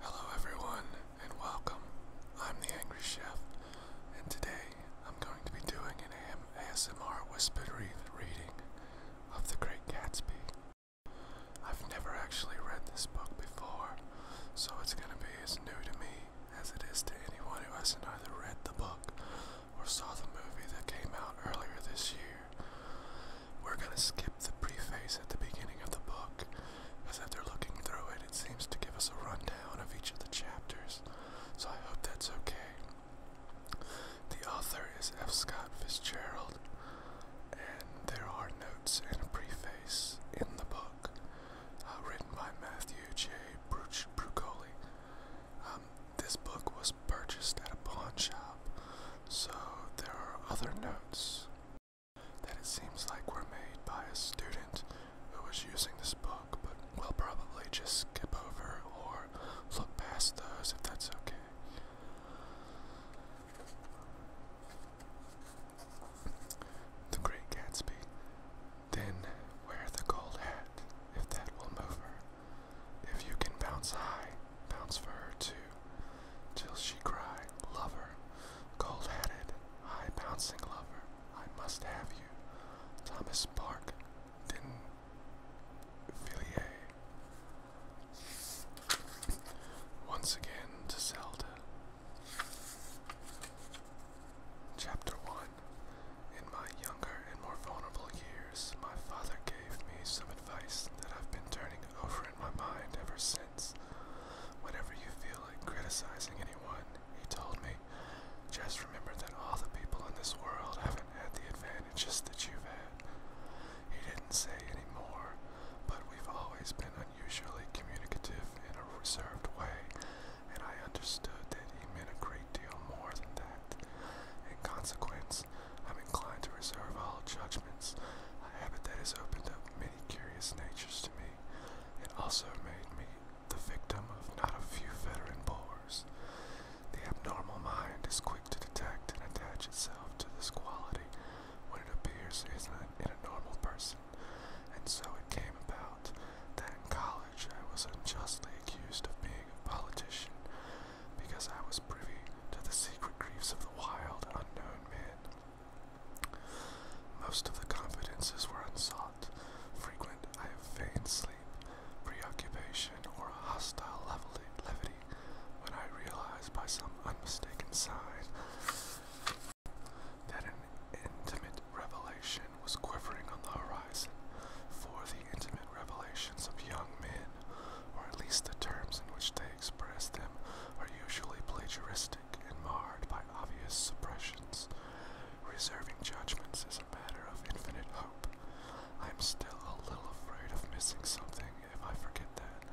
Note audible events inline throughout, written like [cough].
Hello, everyone, and welcome. I'm the Angry Chef, and today I'm going to be doing an ASMR whispered reading of The Great Gatsby I've never actually read this book before, so it's going to be as new to me as it is to anyone who hasn't either read the book or saw the movie that came out earlier this year. We're going to skip the preface at the beginning of the book, as after looking through it, it seems to give us a rundown of each of the chapters, so I hope that's okay. The author is F. Scott Fitzgerald and there are notes and a preface in the book uh, written by Matthew J. Brucoli. Um, this book was purchased at a pawn shop, so there are other notes that it seems like were made by a student who was using this book, but we'll probably just skip over or look past those if that's okay. The Great Gatsby. Then wear the gold hat, if that will move her. If you can bounce high, bounce for her too, till she cry, Lover, gold hatted, high bouncing lover, I must have you. Thomas Park, Din Villiers. Once again to Zelda. Chapter 1 In my younger and more vulnerable years, my father gave me some advice that I've been turning over in my mind ever since. Whenever you feel like criticizing anyone, he told me, just remember that all the people in this world haven't had the advantages that you've had. He didn't say any more, but we've always been unusually communicative in a reserved way, and I understood that he meant a great deal more than that. In consequence, I'm inclined to reserve all judgments, a habit that has opened up many curious natures to me. It also made me the victim of not a few veteran bores. The abnormal mind is quick to detect and attach itself to this quality when it appears isn't in a normal person. And so it came about that in college I was unjustly accused of being a politician because I was privy to the secret griefs of the wild, unknown men. Most of the confidences were unsought, frequent I have feigned sleep, preoccupation, or a hostile levity when I realized by some unmistaken sign that an intimate revelation was quivering on the horizon for the intimate revelations of young men, or at least the terms in which they express them, are usually plagiaristic and marred by obvious suppressions. Reserving judgments is a matter of infinite hope. I'm still a little afraid of missing something if I forget that,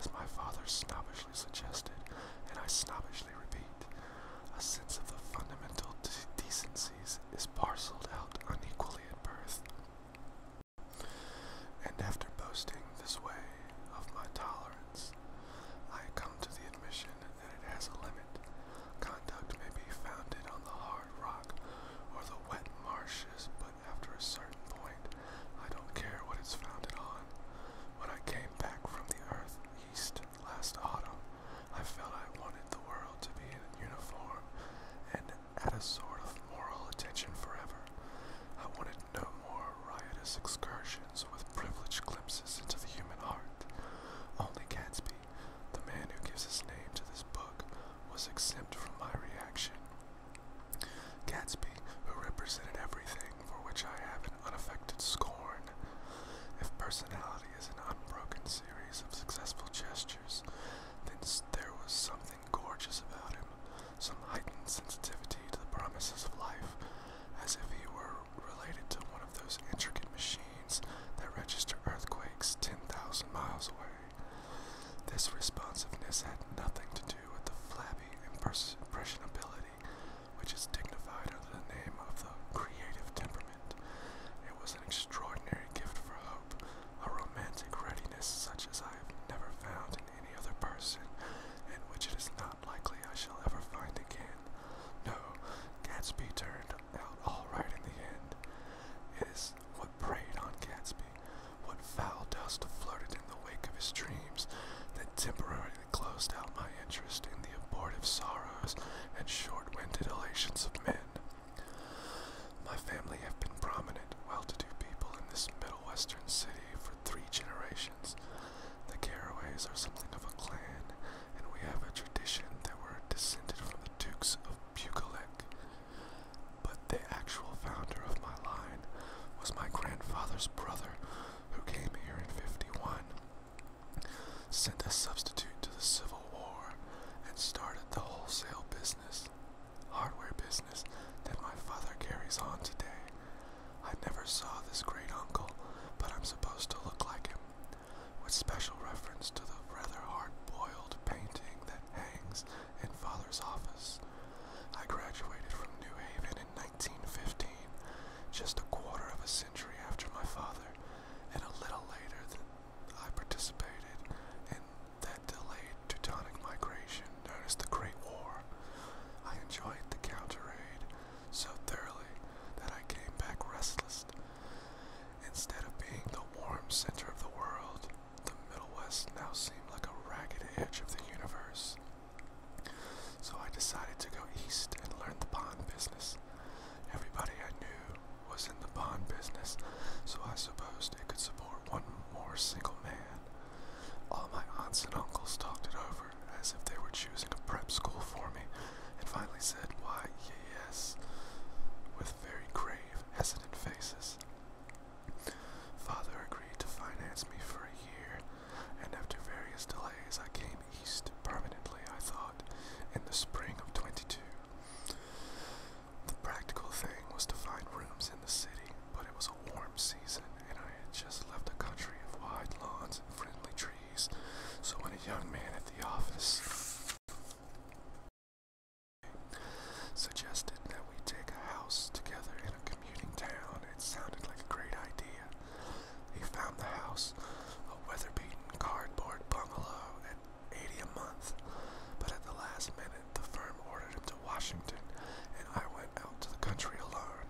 as my father snobbishly suggested, and I snobbishly repeat. A sense of the fundamental decencies is parceled out unequally at birth. And after boasting this way of my tolerance, I come to the admission that it has a limit. Conduct may be founded on the hard rock or the wet marshes, but after a certain point, I don't care what it's founded on. When I came back from the Earth East last autumn, I felt I wanted the world to be in uniform and at a sort of moral attention forever. I wanted no more riotous excursions with privileged glimpses into the human heart. Only Gatsby, the man who gives his name to this book, was exempt from my reaction. Gatsby, who represented everything for which I have an unaffected scorn. If personality is an unbroken series of successful gestures, then there was something gorgeous about him, some heightened sensitivity to the promises of life, as if he were related to one of those intricate machines that register earthquakes 10,000 miles away. This responsiveness had nothing to do with the flabby impressionability which is dignified under the name of the creative temperament. It was an extraordinary gift for hope, a romantic readiness such as I have never found in any other person, and which it is not likely I shall ever find again. No, Gatsby turned out all right in the end. It is what preyed on Gatsby what foul dust floated in the wake of his dreams that temporarily closed out my interest in the abortive sorrows and short-winded elations of men. My family have been prominent, well-to-do people in this middlewestern city for three generations. The Caraways are something of a clan, and we have a tradition that we're descended from the Dukes of Bukolek. But the actual founder of my line was my grandfather's brother who came here in 51, sent a substitute to the Civil War, and started the wholesale business, hardware business that my father carries on today. I never saw this great uncle, but I'm supposed to look like him, with special reference to the rather hard boiled painting that hangs in father's office. I graduated from New Haven in 1915, just a quarter of a century after my father, and a little later than I participated in that delayed Teutonic migration known as the Great War. I enjoyed the counter-raid so thoroughly that I came back restless. Instead of being the warm center of the world, the Middle West now seemed like a ragged edge of the universe. So I decided to go east and learn the bond business. Everybody I knew was in the bond business, so I supposed it could support one more single man. All my aunts and uncles talked it over as if they were choosing a prep school for me, and finally said, Why, yes, with very grave, hesitant faces. Father agreed to finance me for a year, and after various delays, I came east permanently, I thought, in the spring of 22. The practical thing was to find rooms in the city, but it was a warm season, and I had just left a country of wide lawns and friendly trees, so when a young man at the office suggested that we take a house together in a commuting town, it sounded like a great idea. He found the house, a weather-beaten cardboard bungalow at 80 a month, but at the last minute the firm ordered him to Washington and I went out to the country alone.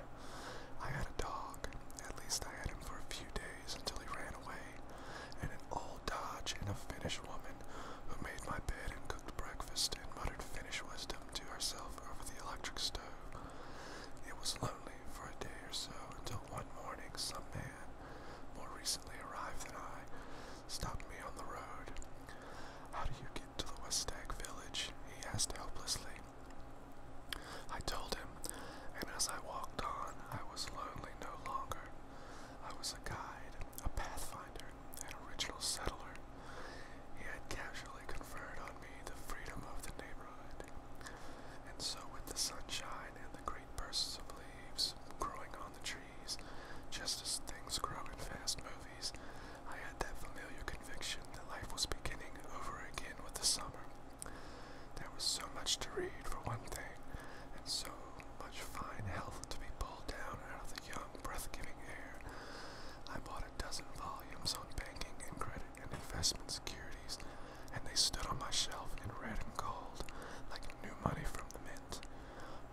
I had a dog, at least I had him for a few days until he ran away, and an old dodge and a Finnish woman who made my bed and cooked breakfast and muttered Finnish wisdom to ourselves over the electric stove. It was lonely for a day or so until one morning some man, more recently arrived than I, stopped me on the road. How do you get to the West Stag village? he asked helplessly. I told him, and as I walked on, I was lonely no longer. I was a guide, a pathfinder, an original settler. He had casually conferred on me the freedom of the neighborhood. And so with the sunshine and the great bursts of leaves growing on the trees, just as things grow in fast movies, I had that familiar conviction that life was beginning over again with the summer. There was so much to read, for one thing, and so much fine health to be pulled down out of the young, breath-giving air. I bought dozen volumes on banking and credit and investment securities, and they stood on my shelf in red and gold, like new money from the mint,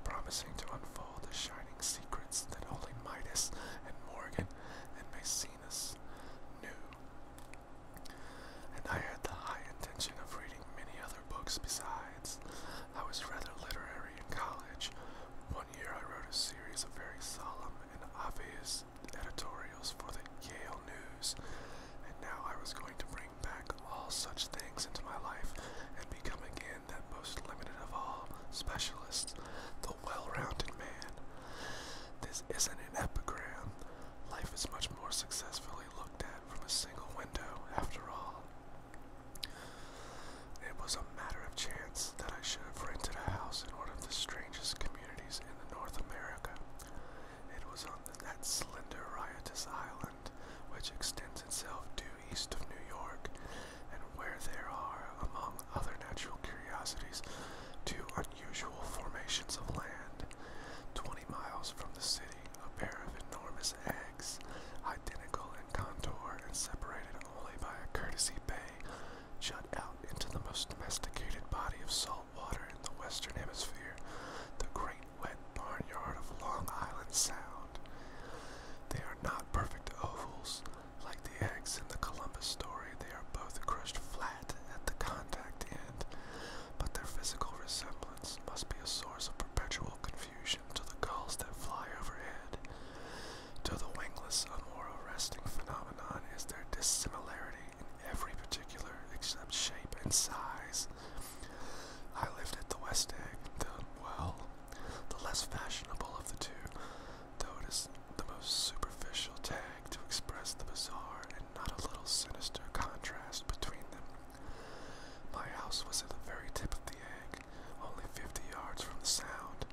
promising to unfold the shining secrets that only Midas and Morgan and Maecenas knew. And I had the high intention of reading many other books besides. I was rather literary in college. One year I wrote a series of very solemn and obvious editorials for the Yale News, and now I was going to bring back all such things into my life and become again that most limited of all specialists, the well-rounded man. This isn't an epigram. Life is much more successfully looked at from a single window, after all. It was a matter of chance that I should have rented a house in one of the strangest communities in the North America. It was on that slender, riotous island which extends itself due east of New York, and where there are, among other natural curiosities, two unusual formations of land. Twenty miles from the city, a pair of enormous eggs, identical in contour and separated only by a courtesy bay, shut out into the most domesticated body of salt water in the western hemisphere, the great wet barnyard of Long Island Sound. They are not perfect ovals. Like the eggs in the Columbus story, they are both crushed flat at the contact end, but their physical resemblance must be a source of perpetual confusion to the gulls that fly overhead. To the wingless a more arresting phenomenon is their dissimilarity in every particular except shape and size. I lived at the West Egg, the, well, the less fashionable of the two, though it is the most superficial tag to express the bizarre and not a little sinister contrast between them. My house was at the very tip of the egg, only fifty yards from the sound,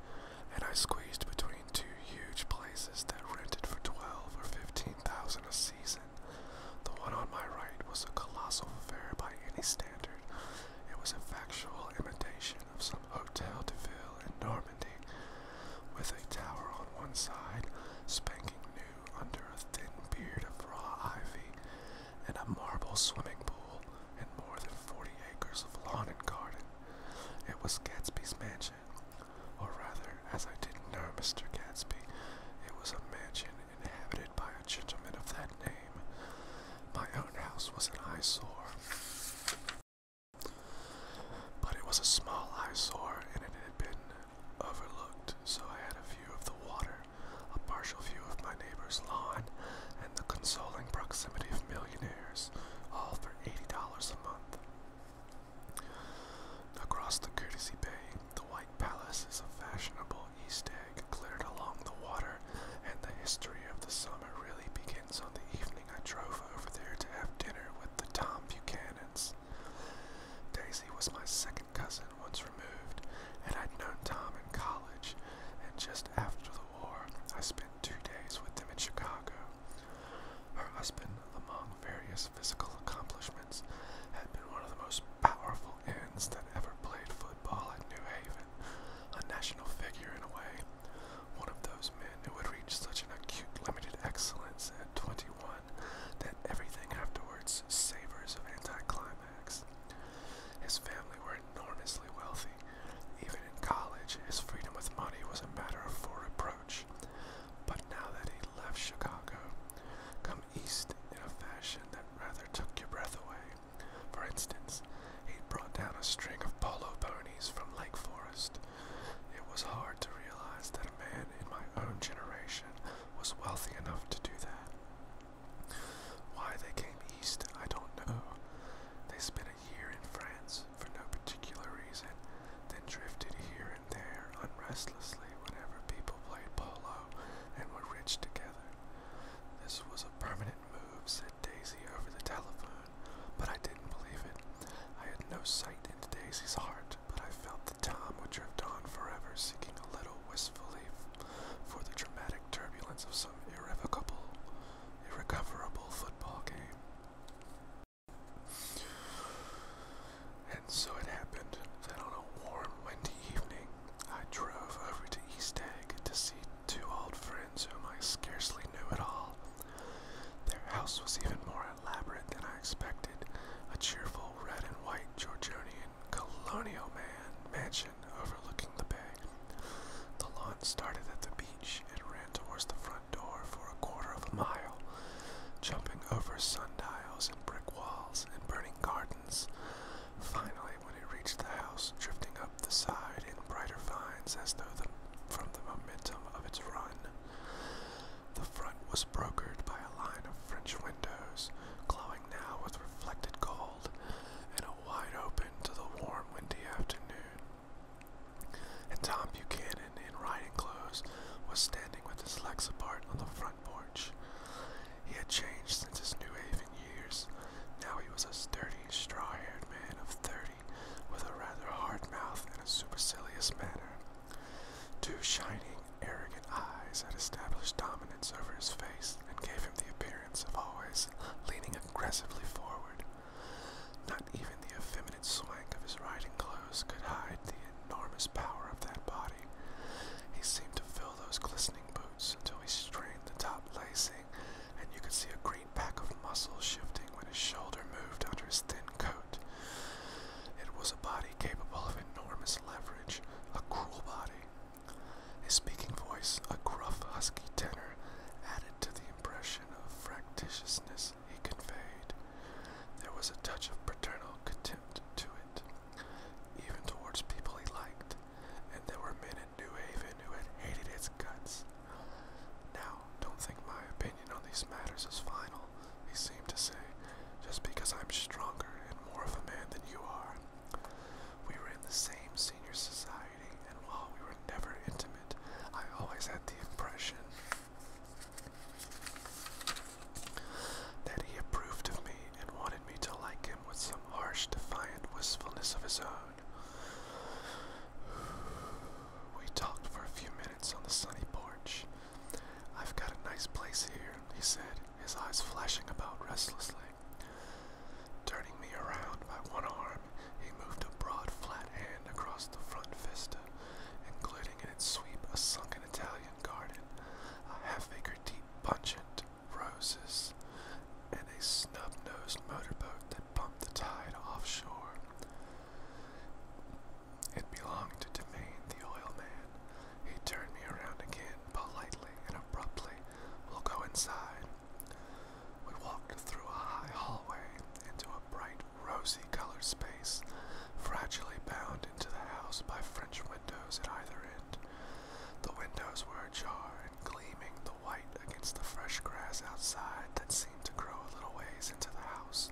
and I squeezed between two huge places that rented for twelve or fifteen thousand a season. The one on my right was a colossal affair by any standard. It was a factual imitation of some Hotel de Ville in Normandy, with a tower on one side, spanking new under a thin beard of raw ivy, and a marble swimming pool, and more than forty acres of lawn and garden. It was Gatsby's mansion. Or rather, as I didn't know Mr. Gatsby, it was a mansion inhabited by a gentleman of that name. My own house was an eyesore. But it was a small eyesore and it had been overlooked, so I had a view of the water, a partial view of my neighbor's lawn, and the consoling proximity of millionaires, all $80 a month. Across the Courtesy Bay, the White Palace is a fashionable East egg glittered along the water, and the history of the summer really begins on the evening I drove over there to have dinner with the Tom Buchanans. Daisy was my second cousin once removed, and I'd known Tom in college, and just after the war, I spent two days with them in Chicago. Her husband, among various physical accomplishments, had been one of the most powerful ends that ever played football at New Haven, a national figure in a way, one of those men who would reach such an acute limited excellence at 21 that everything afterwards savors of anticlimax. His family were enormously wealthy, even in college, his freedom with money was a matter for reproach. But now that he left Chicago, come east in a fashion that rather took your breath away. For instance, he brought down a string of polo ponies from Lake Forest. It was hard to realize that a man in my own generation was wealthy enough to do that. Why they came east, I don't know. They spent a year in France, for no particular reason, then drifted here and there unrestlessly whenever people played polo and were rich together. This was a permanent move, said Daisy over the telephone, but I didn't believe it. I had no sight into Daisy's heart, but I felt the time would drift on forever, seeking a little wistfully for the dramatic turbulence of some irrevocable, irrecoverable football game. And so it happened that on a warm, windy evening, I drove over to East Egg to see two old friends whom I scarcely knew at all. Their house was even more elaborate than I expected a cheerful red and white Georgian colonial man mansion overlooking the bay. The lawn started at the beach and ran towards the front door for a quarter of a mile, jumping over sundials and brick walls and burning gardens. Finally, when it reached the house, drifting up the side in brighter vines as though from the momentum of its run, the front was brokered by a line of French windows, glowing now with reflected gold, and a wide open to the warm, windy afternoon and Tom Buchanan, in riding clothes, was standing with his legs apart on the front porch. He had changed since his New Haven years. Now he was a sturdy, straw-haired man of thirty, with a rather hard mouth and a supercilious manner. Two shining, arrogant eyes had established dominance over his face and gave him the appearance of always leaning aggressively forward. Not even the effeminate swing of his riding clothes could hide the enormous power of that body. He seemed to fill those glistening boots until he strained the top lacing, and you could see a great pack of muscles shifting when his shoulder moved under his thin coat. It was a body capable of enormous leverage, a cruel body. His speaking voice, a gruff, husky tenor, added to the impression of fractiousness he conveyed. There was a touch of paternal contempt to it, even towards people he liked, and there were men in New Haven who had hated its guts. Now, don't think my opinion on these matters is final, he seemed to say, just because I'm stronger and more of a man than you are. We were in the same senior society, and while we were never intimate, I always had the impression that he approved of me and wanted me to like him with some harsh, defiant wistfulness of his own. We talked for a few minutes on the sunny porch. I've got a nice place here, he said, his eyes flashing about restlessly, turning me around by one arm he moved a broad, flat hand across the front vista, including in its sweep a sunken Italian garden, a half-acre deep pungent roses, and a snub-nosed motorboat that bumped the tide offshore. It belonged to Demain, the oil man. He turned me around again, politely and abruptly. We'll go inside. We walked through a high hallway into a bright rosy colored space, fragilely bound into the house by French windows at either end. The windows were ajar and gleaming the white against the fresh grass outside that seemed to grow a little ways into the house.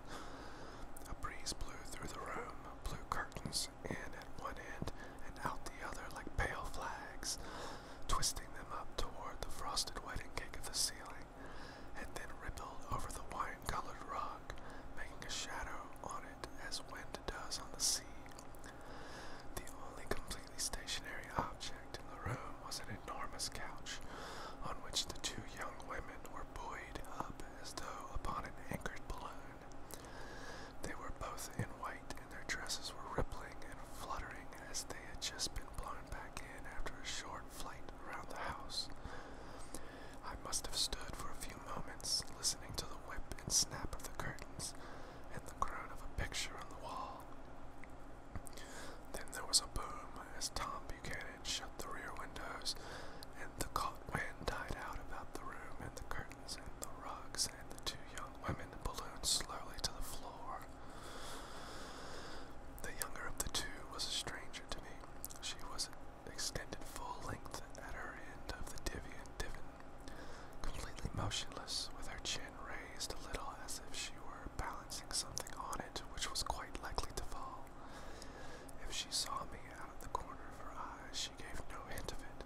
A breeze blew through the room, blue curtains in at one end and out the other like pale flags, twisting them up toward the frosted wedding cake of the ceiling and then rippled over the wine-colored rock, making a shadow on it as wind does on the sea. The only completely stationary object in the room was an enormous couch, on which the two young women were buoyed up as though upon an anchored balloon. They were both in white, and their dresses were rippling and fluttering as they had just been blown back in after a short flight around the house. I must have stood for a few moments, listening to the whip and snap of the curtains and the groan of a picture on the wall. Then there was a boom as Tom Buchanan shut the rear windows, and the caught wind died out about the room and the curtains and the rugs and the two young women ballooned slowly to the floor. The younger of the two was a stranger to me. She was extended full length at her end of the divvy divan, completely motionless, with her chin raised a little as if she were balancing something on it which was quite likely to fall. If she saw me out of the corner of her eye, she gave no hint of it.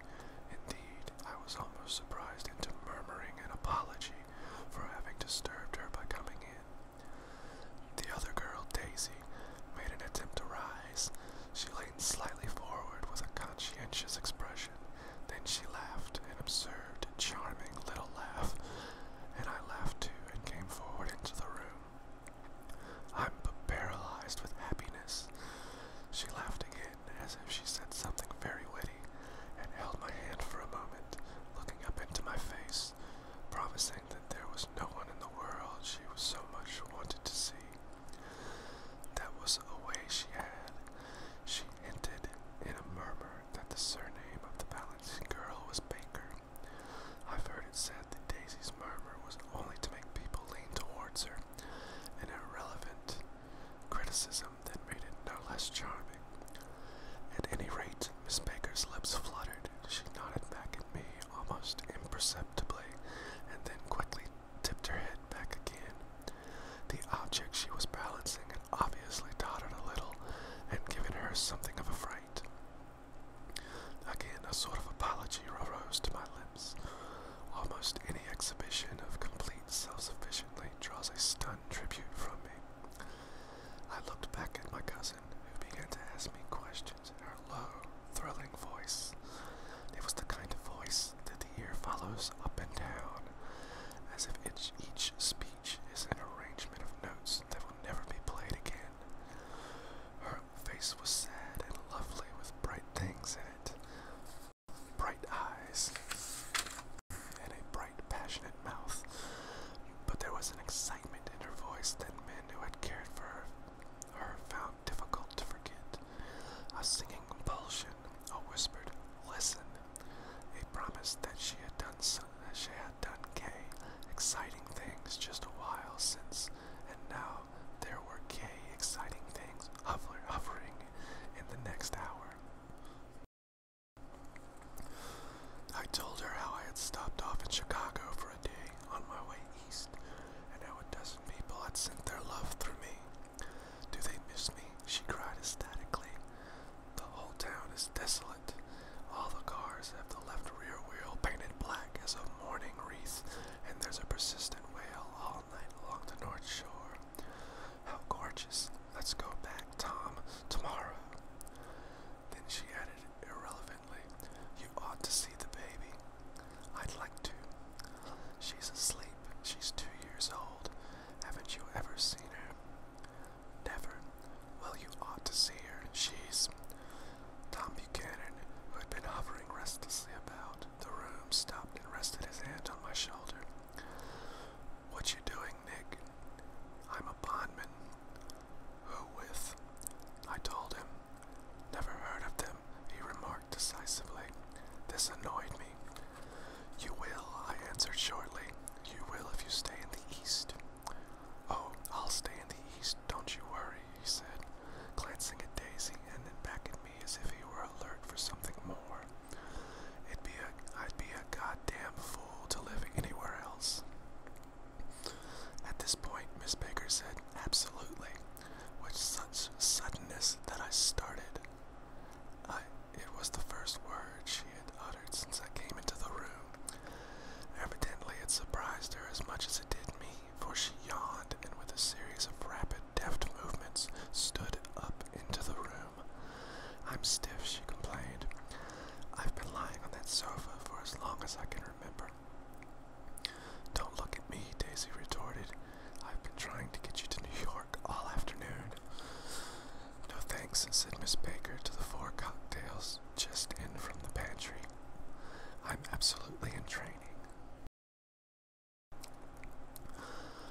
Indeed, I was almost surprised into murmuring an apology for having disturbed her by coming in. The other girl, Daisy, made an attempt to rise. She leaned slightly forward with a conscientious expression. Then she laughed, an absurd, charming little laugh, and I laughed too and came forward into the room. I'm paralyzed with happiness. She laughed again, as if she said something very witty, and held my hand for a moment, looking up into my face, promising that there was no one in the world she was so much wanted to see. That was a way she had. She hinted in a murmur that the surname of the balancing girl was Baker. I've heard it said that Daisy's murmur was only to make people lean towards her, an irrelevant criticism that made it no less charming. At any rate, Miss Baker's lips fluttered. She nodded back at me almost imperceptibly, and then quickly tipped her head back again. The object she was balancing had obviously tottered a little and given her something of a fright. Again, a sort of apology rose to my lips. Almost any exhibition of complete self sufficiency draws a stunned tribute from me. I looked back at my cousin who began to ask me questions in her low, thrilling voice. It was the kind of voice that the ear follows up and down, as if each speech is an arrangement of notes that will never be played again. Her face was sad and lovely with bright things in it. Bright eyes and a bright, passionate mouth, but there was an excitement excitement in her voice that men who had cared for her, her found difficult to forget. A singing compulsion, a whispered listen, a promise that she had done so, that she had done gay, exciting things just a while since, and now there were gay, exciting things hovering, hovering in the next hour. I told her how I had stopped off in Chicago for a day on my way east, and how a dozen people had sent their love through me. Do they miss me? She cried ecstatically. The whole town is desolate. All the cars have the left rear wheel painted black as a mourning wreath, and there's a persistent wail all night along the North Shore. How gorgeous. Let's go back, Tom, tomorrow. Then she added irrelevant you ought to see the baby. I'd like to. She's asleep. She's two years old. Haven't you ever seen her? Never. Well, you ought to see her. She's. Tom Buchanan, who had been hovering restlessly about the room, stopped and rested his hand on my shoulder. What you doing, Nick? I'm a bondman, who with? I told him. Never heard of them, he remarked decisively. This annoyed me. You will, I answered shortly. You will if you stay in the east. Oh, I'll stay in the east, don't you worry, he said, glancing at Daisy and then back at me as if he were alert for something more. It'd be a I'd be a goddamn fool to live anywhere else. At this point, Miss Baker said, Absolutely, with such suddenness that I started. it was the first word she had uttered since I came into the room. Evidently, it surprised her as much as it did me, for she yawned and, with a series of rapid, deft movements, stood up into the room. I'm stiff, she complained. I've been lying on that sofa for as long as I can remember. Don't look at me, Daisy retorted. I've been trying to get you to New York all afternoon. No thanks, said Miss Baker to the four cocktails just in from the pantry. I'm absolutely in training.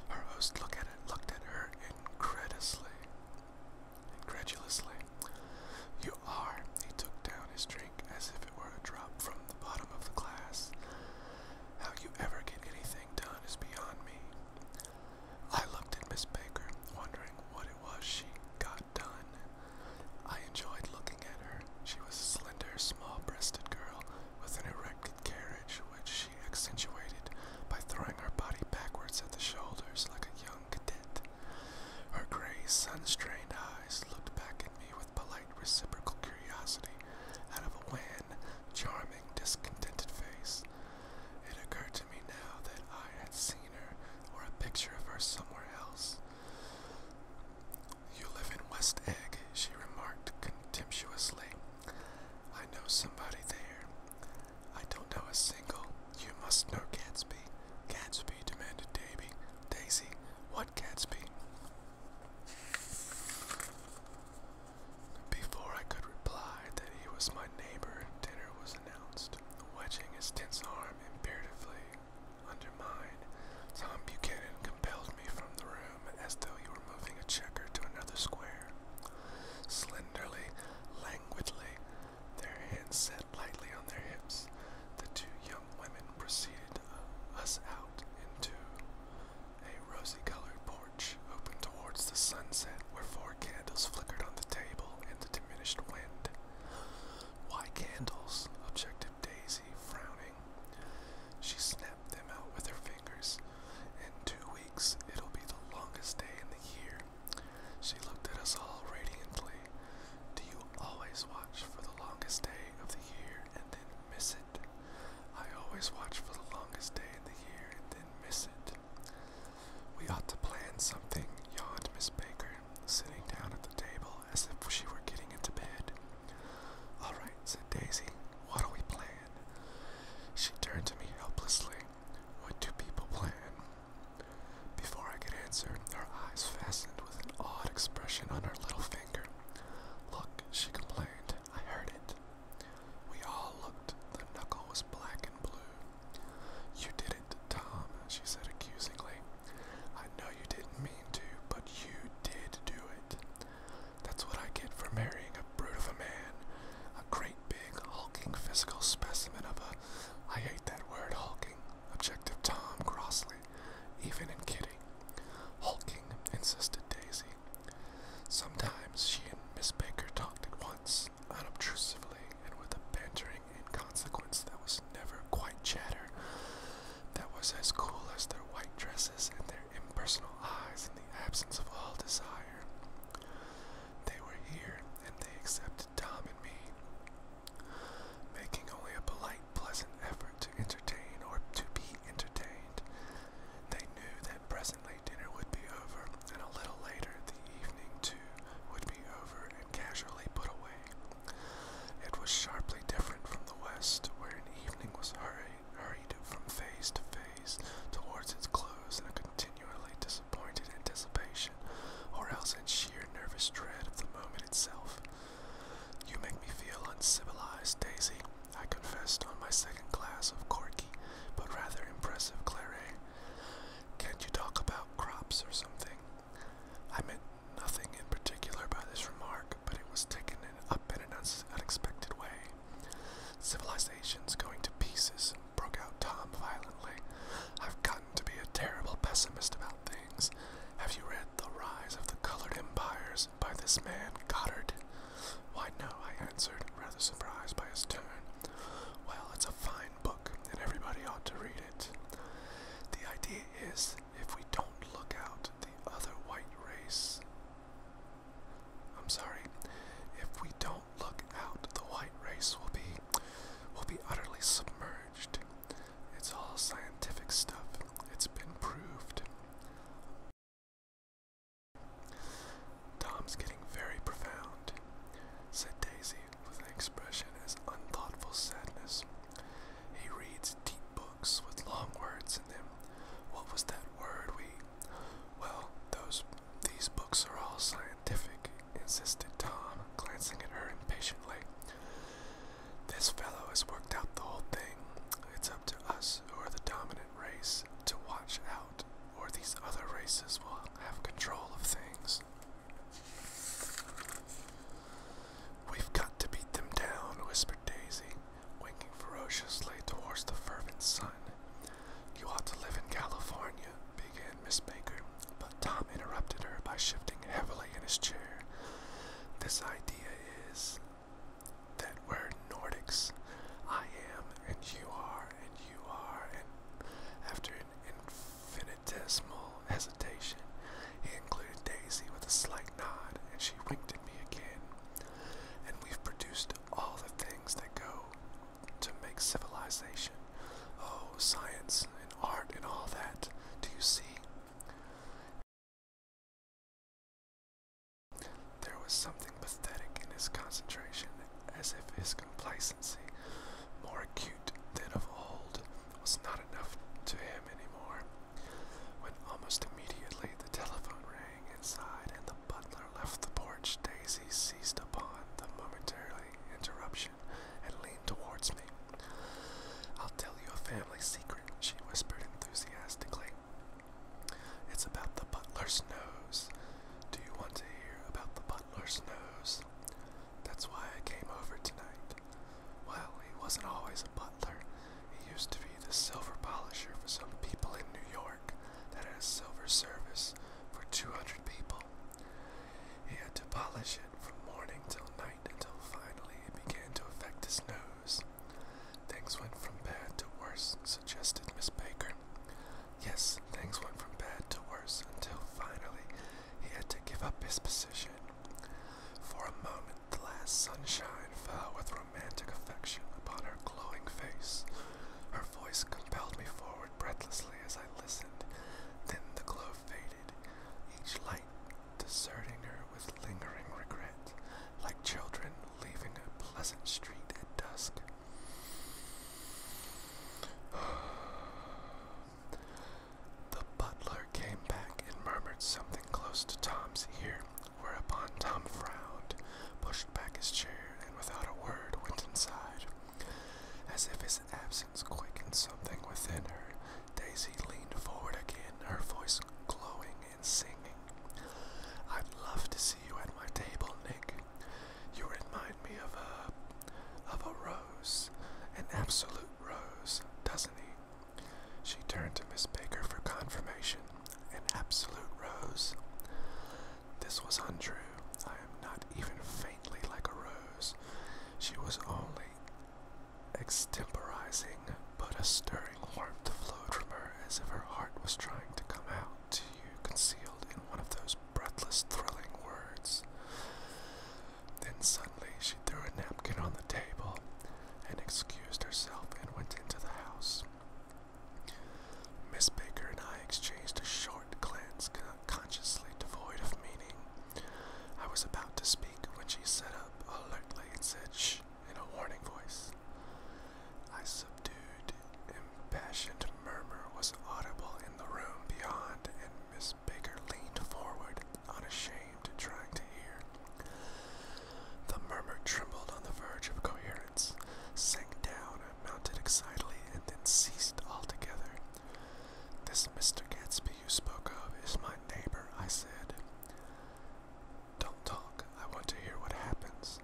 Her host look at it, looked at her incredulously. Incredulously. You are, he took down his drink as if it were a drop from the bottom of the glass. How you ever get anything done is beyond me. I looked at Miss Baker, wondering what it was she got done. I enjoyed looking at her. She was a slender, small breasted girl with an erect carriage, which she accentuated by throwing her body backwards at the shoulders like a young cadet. Her gray, sun-strained eyes looked back at me with polite reciprocal curiosity out of a wan, charming, discontented face. It occurred to me now that I had seen her or a picture of her somewhere else. You live in West Egg, she remarked contemptuously. I know somebody there. I don't know a single, you must know Gatsby. Gatsby, demanded Davy. Daisy, what Gatsby? Before I could reply that he was my neighbor, dinner was announced. Wedging his tense arm imperatively under mine, Tom Buchanan compelled me from the room as though he were moving a checker to another square. Slenderly, languidly, their hands set lightly on their hips, the two young women preceded uh, us out into a rosy-colored porch open towards the sunset, where four candles flickered on the table in the diminished wind. Why candles? objected Daisy, frowning. She snapped them out with her fingers. In two weeks, it'll be the longest day in the year. She looked at us all radiantly do you always watch for the longest day of the year and then miss it? I always watch for the longest day in the year and then miss it. We ought to plan something, yawned Miss Baker, sitting down at the table as if she were getting into bed. All right, said Daisy. What do we plan? She turned to me helplessly. What do people plan? Before I could answer, her eyes fastened with an odd expression on her little finger. Look, she complained. I heard it. We all looked. The knuckle was black and blue. You did it, Tom, she said accusingly. I know you didn't mean to, but you did do it. That's what I get for marrying a brute of a man. A great big hulking physical specimen of a I hate that word hulking objective Tom Crossley, even in kidding. Hulking, insisted Daisy. Sometimes she and Miss Baker talked at once, unobtrusively, and with a bantering inconsequence that was never quite chatter, that was as cool as their white dresses and their impersonal eyes in the absence of all desire. They were here, and they accepted Tom and me making only a polite, pleasant effort to entertain or to be entertained. They knew that presently dinner would be over, and a little later the evening, too, would be over and casually put away. It was sharply different from the West, where an evening was hurried, hurried from phase to phase towards its close in a continually disappointed anticipation, or else in sheer nervous dread of the moment itself. You make me feel uncivilized, Daisy, I confessed on my second glass of corky but rather impressive claret. Can't you talk about crops or something? I meant nothing in particular by this remark, but it was taken up in an unexpected way. Civilization's going to pieces, broke out Tom violently. I've gotten to be a terrible pessimist about things. Have you read The Rise of the Colored Empires by this man, Goddard? Why, no, I answered, rather surprised by his tone. Well, it's a fine book, and everybody ought to read it. The idea is if we don't look out, the other white race. I'm sorry. If we don't look out, the white race will be will be utterly submerged. It's all scientific stuff. It's been proved. Tom's getting very profound, said Daisy with an expression of unthoughtful sadness. He reads deep books with long words in them. What was that word we well, those these books are all scientific, insisted Tom, glancing at her impatiently. This fellow has worked out the whole thing. It's up to us, who are the dominant race, to watch out, or these other races will have control of things. We've got to beat them down, whispered Daisy, winking ferociously towards the fervent sun. You ought to live in California, began Miss Baker, but Tom interrupted her by shifting heavily in his chair. This idea is that we're Nordics. I am, and you are, and you are, and after an infinitesimal hesitation, he included Daisy with a slight nod, and she winked at me again. And we've produced all the things that go to make civilization. Oh, science and art and all that. Do you see? There was something pathetic in his concentration, as if his complacency, more acute than of old, was not enough to him anymore. When almost immediately the telephone rang inside and the butler left the porch, Daisy seized upon the momentary interruption and leaned towards me. I'll tell you a family secret, she whispered enthusiastically. It's about the butler's nose. Do you want to hear about the butler's nose? That's why I came over tonight. Well, he wasn't always a butler. He used to be the silver polisher for some people in New York that had a silver service for 200 people. He had to polish it from morning till night until finally it began to affect his nose. Things went from bad to worse, suggested Miss Baker. Yes, things went from bad to worse until finally he had to give up his position. For a moment, the last sunshine fell with romantic affection upon her glowing face. Her voice compelled me forward breathlessly as I listened. Then the glow faded. Each deserting her with lingering regret, like children leaving a pleasant street at dusk. [sighs] The butler came back and murmured something close to Tom's ear, whereupon Tom frowned, pushed back his chair, and without a word went inside. As if his absence quickened something within her, Daisy leaned forward again, her voice glowing and singing. I'd love to see you at my table, Nick. You remind me of a of a rose, an absolute rose, doesn't he? She turned to Miss Baker for confirmation. An absolute rose. This was untrue. I am not even faintly like a rose. She was only extemporizing, but a stirring warmth flowed from her as if her heart was trying to come out to you, concealed in one of those breathless, thrilling words. Then suddenly she threw a napkin on the table and excused herself and went into the house. Miss Baker and I exchanged a short glance, consciously devoid of meaning. I was about to speak when she he set up alertly and said shh in a warning voice. a subdued, impassioned murmur was audible in the room beyond, and Miss Baker leaned forward, unashamed, trying to hear. The murmur trembled on the verge of coherence, sank down, mounted excitedly, and then ceased altogether. This Mr. Gatsby you spoke of is my neighbor, I said. Don't talk. I want to hear what happens.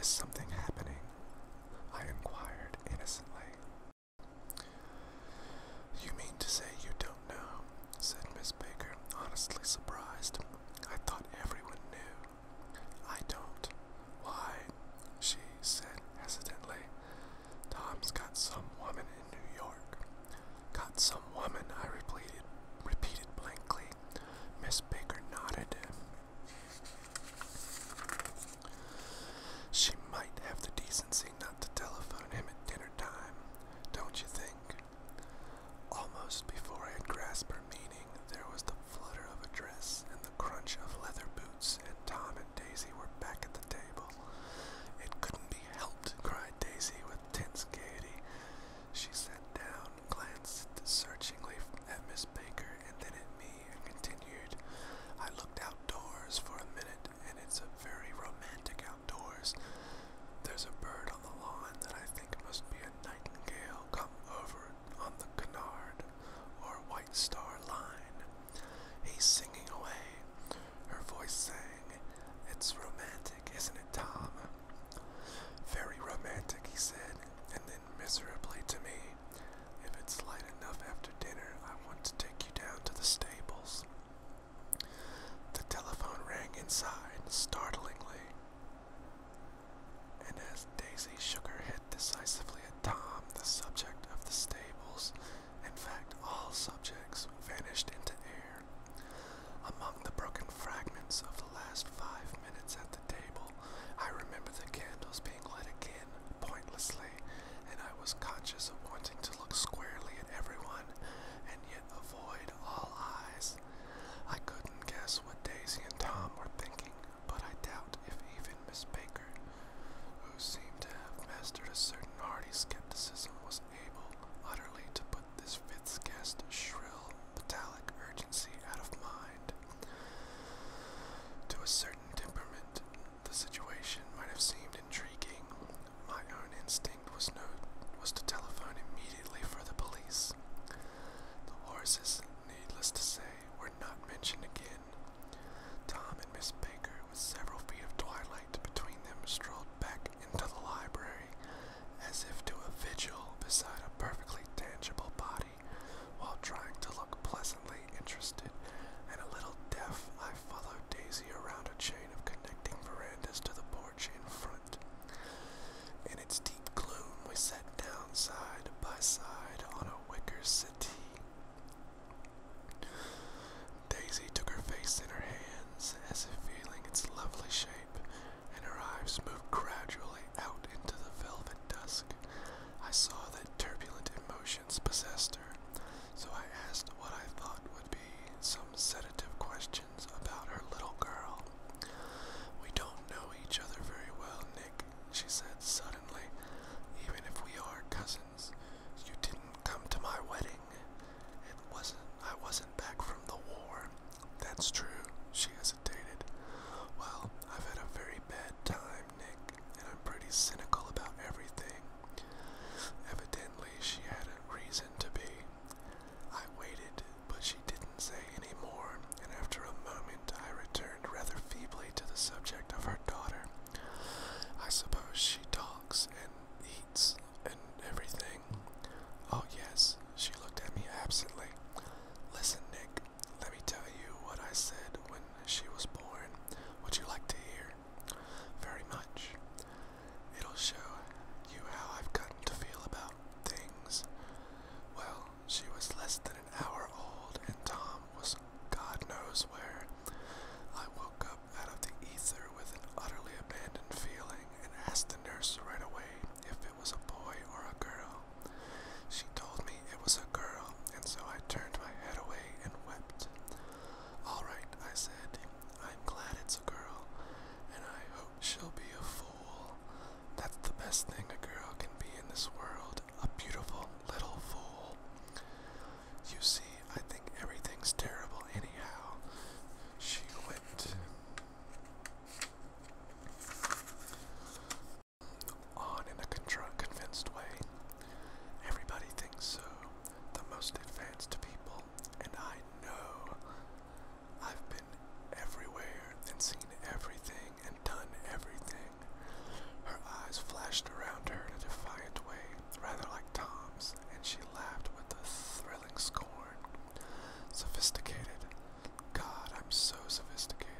Is something happening? I inquired innocently. You mean to say you don't know? said Miss Baker, honestly surprised. I thought everyone knew. I don't. Why? she said hesitantly. Tom's got some woman in New York. Got some woman, I repeated, repeated blankly. Miss Baker nodded. She might have the decency not to telephone him at dinner time, don't you think? Almost before I had grasped her meaning, there was the flutter of a dress and the crunch of leather boots, and Tom and Daisy were back at the table. It couldn't be helped, cried Daisy with tense gaiety. She sat down, glanced searchingly at Miss Baker and then at me, and continued. I looked outdoors for a minute, and it's a very romantic outdoors. There's a bird on the lawn that I think must be a nightingale come over on the canard or white star line. He's singing away. Her voice sang. It's romantic, isn't it, Tom? Very romantic, he said, and then miserably to me. If it's light enough after dinner, I want to take you down to the stables. The telephone rang inside, startlingly. And as Daisy shook her head decisively at Tom, the subject of the stables, in fact all subjects, vanished into air. Among the broken fragments of the last five minutes at the table, I remember the candles being lit again, pointlessly, and I was conscious of wanting to look squarely at everyone and yet avoid all eyes. I couldn't guess what Daisy and Tom were thinking, but I doubt if even Miss Baker, who seemed to have mastered a certain hardy skepticism, was able utterly to put this fits guest's shrill, metallic urgency out of mind. To a certain temperament, the situation might have seemed intriguing. My own instinct was no was to telephone immediately for the police. The horses, needless to say, were not mentioned again. Tom and Miss Baker, with several feet of twilight between them, strolled back into the library, as if to a vigil beside a perfectly tangible body, while trying to look pleasantly interested and a little deaf. I followed Daisy around a chain of connecting verandas to the porch in front. In its deep gloom, we sat down side by side on a wicker settee. Daisy took her face in her hands as if feeling its lovely shape and her eyes moved gradually out into the velvet dusk. I saw that turbulent emotions possessed her, so I asked what I thought would be some sedative questions about her little girl. We don't know each other very well, Nick, she said suddenly. Even if we are cousins, you didn't come to my wedding. It wasn't I wasn't back from the war. That's true, she hesitated. Well, I've had a very bad time, Nick, and I'm pretty cynical about everything. Evidently she had a reason to be. I waited, but she didn't say any more, and after a moment I returned rather feebly to the subject of her daughter. I suppose she talks and eats and everything. Oh, yes, she looked at me absently. Listen, Nick, let me tell you what I said when she was born. Would you like to hear? Very much. It'll show you how I've gotten to feel about things. Well, she was less than an hour old, and Tom was God knows where. I woke up out of the ether with an utterly abandoned feeling and asked the nurse right away if it was a boy or a girl. She told me it was a girl, and so I turned my head away and wept. All right, I said, I'm glad it's a girl, and I hope she'll be a fool. That's the best thing a girl can be in this world, a beautiful little fool. You see, I think everything's terrible anyhow. She went on in a convinced way. Everybody thinks so. The most advanced people, and I know. I've been everywhere and seen everything and done everything. Her eyes flashed around her in a defiant way, rather like Tom's, and she laughed with a thrill scorn. Sophisticated. God, I'm so sophisticated.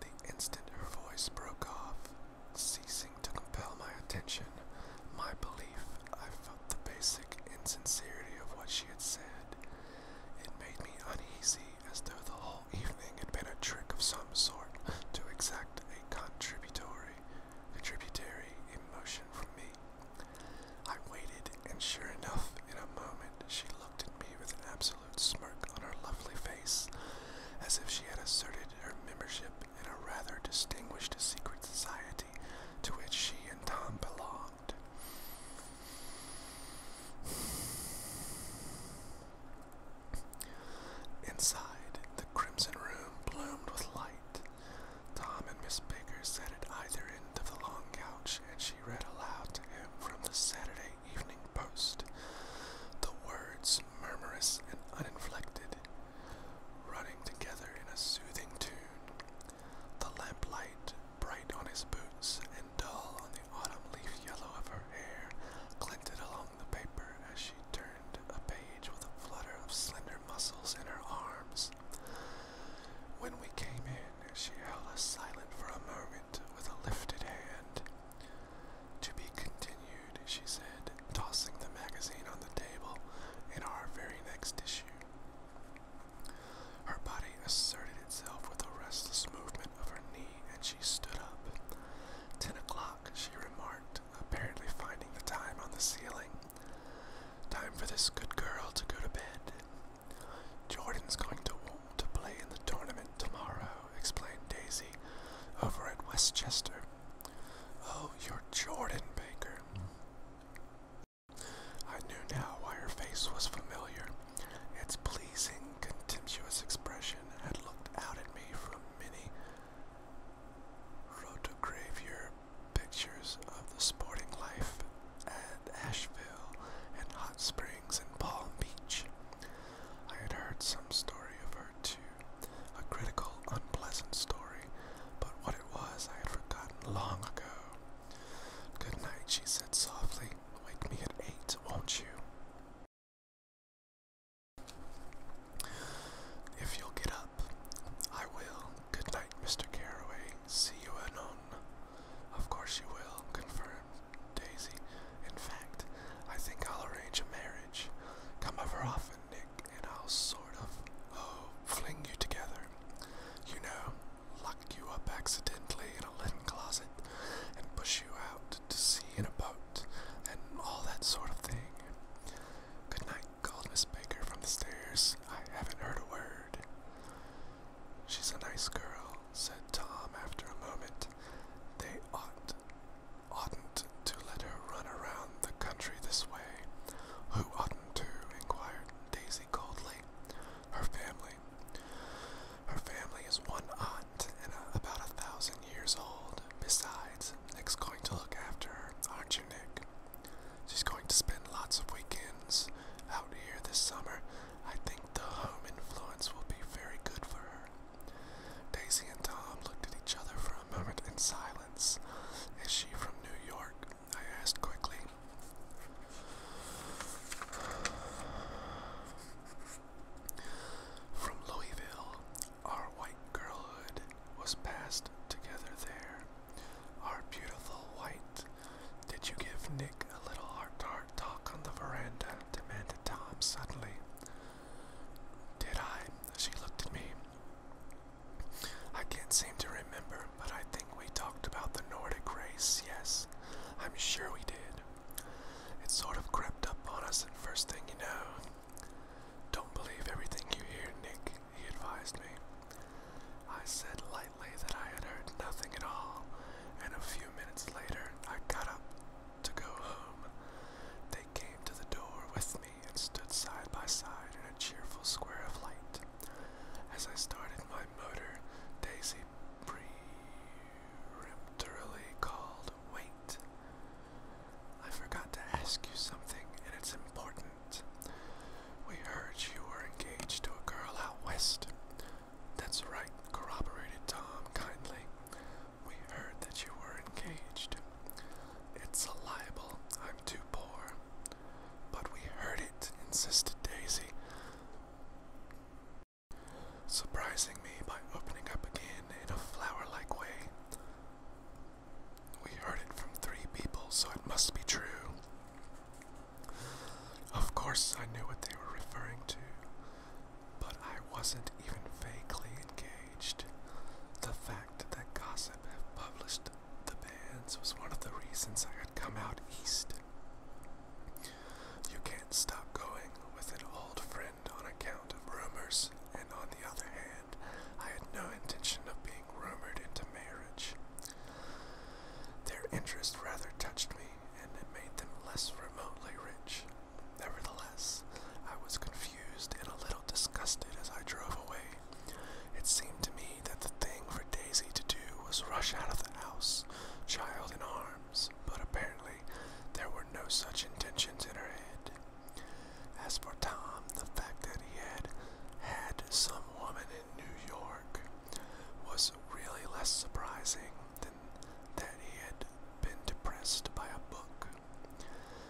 The instant her voice broke off, ceasing to compel my attention, my belief, I felt the basic insincerity of what she had said. It made me uneasy, as though the whole evening had been a trick of some sort to exact a contributory a tributary in motion from me. I waited, and sure enough, in a moment she looked at me with an absolute smirk on her lovely face, as if she had asserted her membership in a rather distinguished secret society to which she and Tom belonged. Inside, the crimson room bloomed with light. Tom and Miss Baker sat at either end of the long couch, and she read aloud to him from the Saturday Evening Post, the words murmurous and uninflected, running together in a soothing tune, the lamplight bright on his boots and dull on the autumn leaf yellow of her hair glinted along the paper as she turned a page with a flutter of slender muscles in her arms. When we came in, she held us silent for a moment with a lifted hand. To be continued, she said, tossing the magazine on the table in our very next issue. Her body asserted itself with a restless movement of her knee, and she stood up. Ten o'clock, she remarked, apparently finding the time on the ceiling. Time for this good girl to go to bed. Jordan's going to to play in the tournament tomorrow, explained Daisy over at Westchester. Oh, you're Jordan Baker. I knew now why her face was familiar. Its pleasing, contemptuous expression had looked out at me from many rotogravure pictures of the sporting life at Asheville and Hot Springs and Palm Beach. I had heard some story of her too, a critical, unpleasant story, but what it was I had forgotten long ago. Good night, she said softly. Wake me at eight, won't you? If you'll get up, I will. Good night, Mr. Carroway. See you anon. Of course you will, confirmed Daisy. In fact, I think I'll arrange a marriage. Come over often, Nick, and I'll sort of, oh, fling you together. You know, lock you up accidentally in a linen closet and push you out to sea in a boat and all that sort of thing. Good night, called Miss Baker from the stairs. I haven't heard a word. She's a nice girl, said Tom after a moment. They ought not to let her run around the country this way. Who oughtn't to? inquired Daisy coldly. Her family. Her family is one aunt and about a thousand years old. Besides, Nick's going to look after her, aren't you, Nick? She's going to spend lots of weekends out here this summer. I think the home influence will be very good for her. Daisy and Tom looked at each other for a moment in silence. Is she from New York? I asked quickly. From Louisville, our white girlhood was passed together there. Our beautiful white. Did you give Nick a little heart-to-heart talk on the veranda? demanded Tom suddenly. Did I? She looked at me. I can't seem to remember, but I think we talked about the Nordic race, yes. I'm sure we did. It sort of crept up on us, and first thing you know. Don't believe everything you hear, Nick, he advised me. I said lightly that I had heard nothing at all, and a few minutes later I got up to go home. They came to the door with me and stood side by side in a cheerful square of light. As I started my motor, Daisy peremptorily called, Wait! I forgot to ask you something, and it's important. We heard you were engaged to a girl out west. That's right, corroborated Tom kindly. We heard that you were engaged. It's a libel. I'm too poor. But we heard it, insisted Daisy, surprising me by opening up again in a flower like way. We heard it from three people, so it must be true. Of course, I knew what they were referring to, but I wasn't even vaguely engaged. The fact that Gossip had published the bans was one of the reasons I had come out east. You can't stop going with an old friend on account of rumors, and on the other hand, I had no intention of being rumored into marriage. Their interest rather touched me, and it made them less remotely rich. Nevertheless, I was confused and a little disgusted as I drove away. It seemed to me that the thing for Daisy to do was rush out of the house, child in arms, but apparently there were no such intentions in her head. As for Tom, the fact that he had had some woman in New York was really less surprising than that he had been depressed by a book.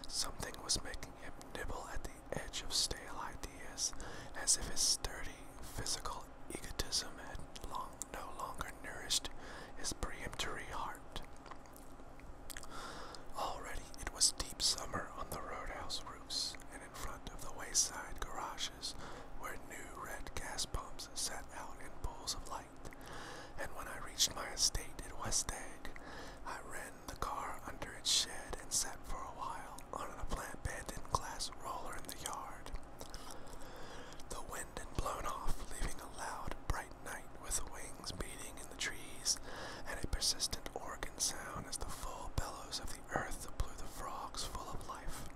Something was making him nibble at the edge of stale ideas as if his sturdy physical egotism had long, no longer nourished his peremptory heart. Already it was deep summer on the roadhouse roofs, in front of the wayside garages where new red gas pumps set out in pools of light. And when I reached my estate at West Egg, I ran the car under its shed and sat for a while on an abandoned glass roller in the yard. The wind had blown off, leaving a loud, bright night with wings beating in the trees and a persistent organ sound as the full bellows of the the earth blew the frogs full of life.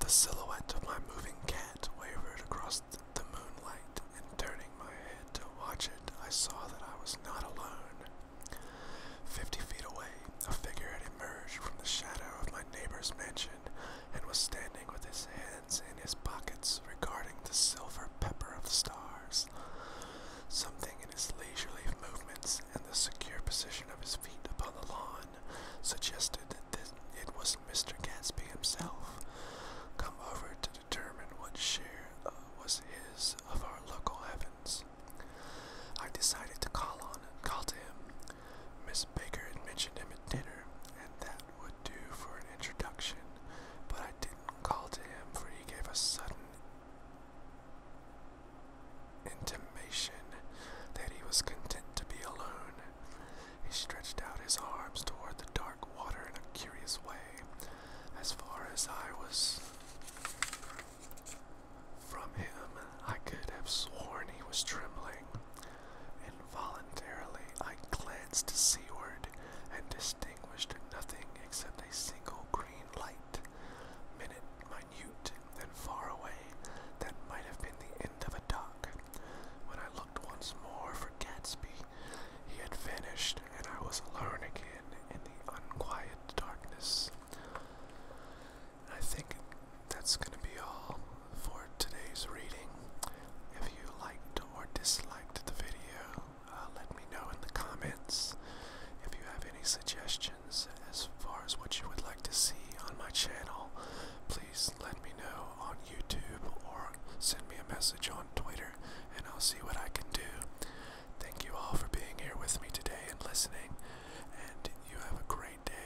The silhouette of my moving cat wavered across the moonlight, and turning my head to watch it, I saw that I was not alone. Fifty feet away, a figure had emerged from the shadow of my neighbor's mansion and was standing with his hands in his pockets regarding the silver pepper of stars. Something his leisurely movements and the secure position of his feet upon the lawn suggested that it was Mr. Gatsby himself, come over to determine what share uh, was his of our local heavens. I decided to call on and call to him. Miss Baker had mentioned him at dinner, and that would do for an introduction, but I didn't call to him, for he gave a sudden intimation that he was content to be alone. He stretched out his arms toward the dark water in a curious way, as far as I was from him, I could have sworn he was trembling. Involuntarily, I glanced seaward and distinguished nothing except a single green light. Minute minute and far away that might have been the end of a dock. When I looked once more for Gatsby, he had vanished, and I was alone again in the unquiet darkness. I think that's going to be all for today's reading. If you liked or disliked the video, uh, let me know in the comments. If you have any suggestions, as far as what you would like to see on my channel, please let me know on YouTube or send me a message on Twitter and I'll see what I can do. Thank you all for being here with me today and listening, and you have a great day.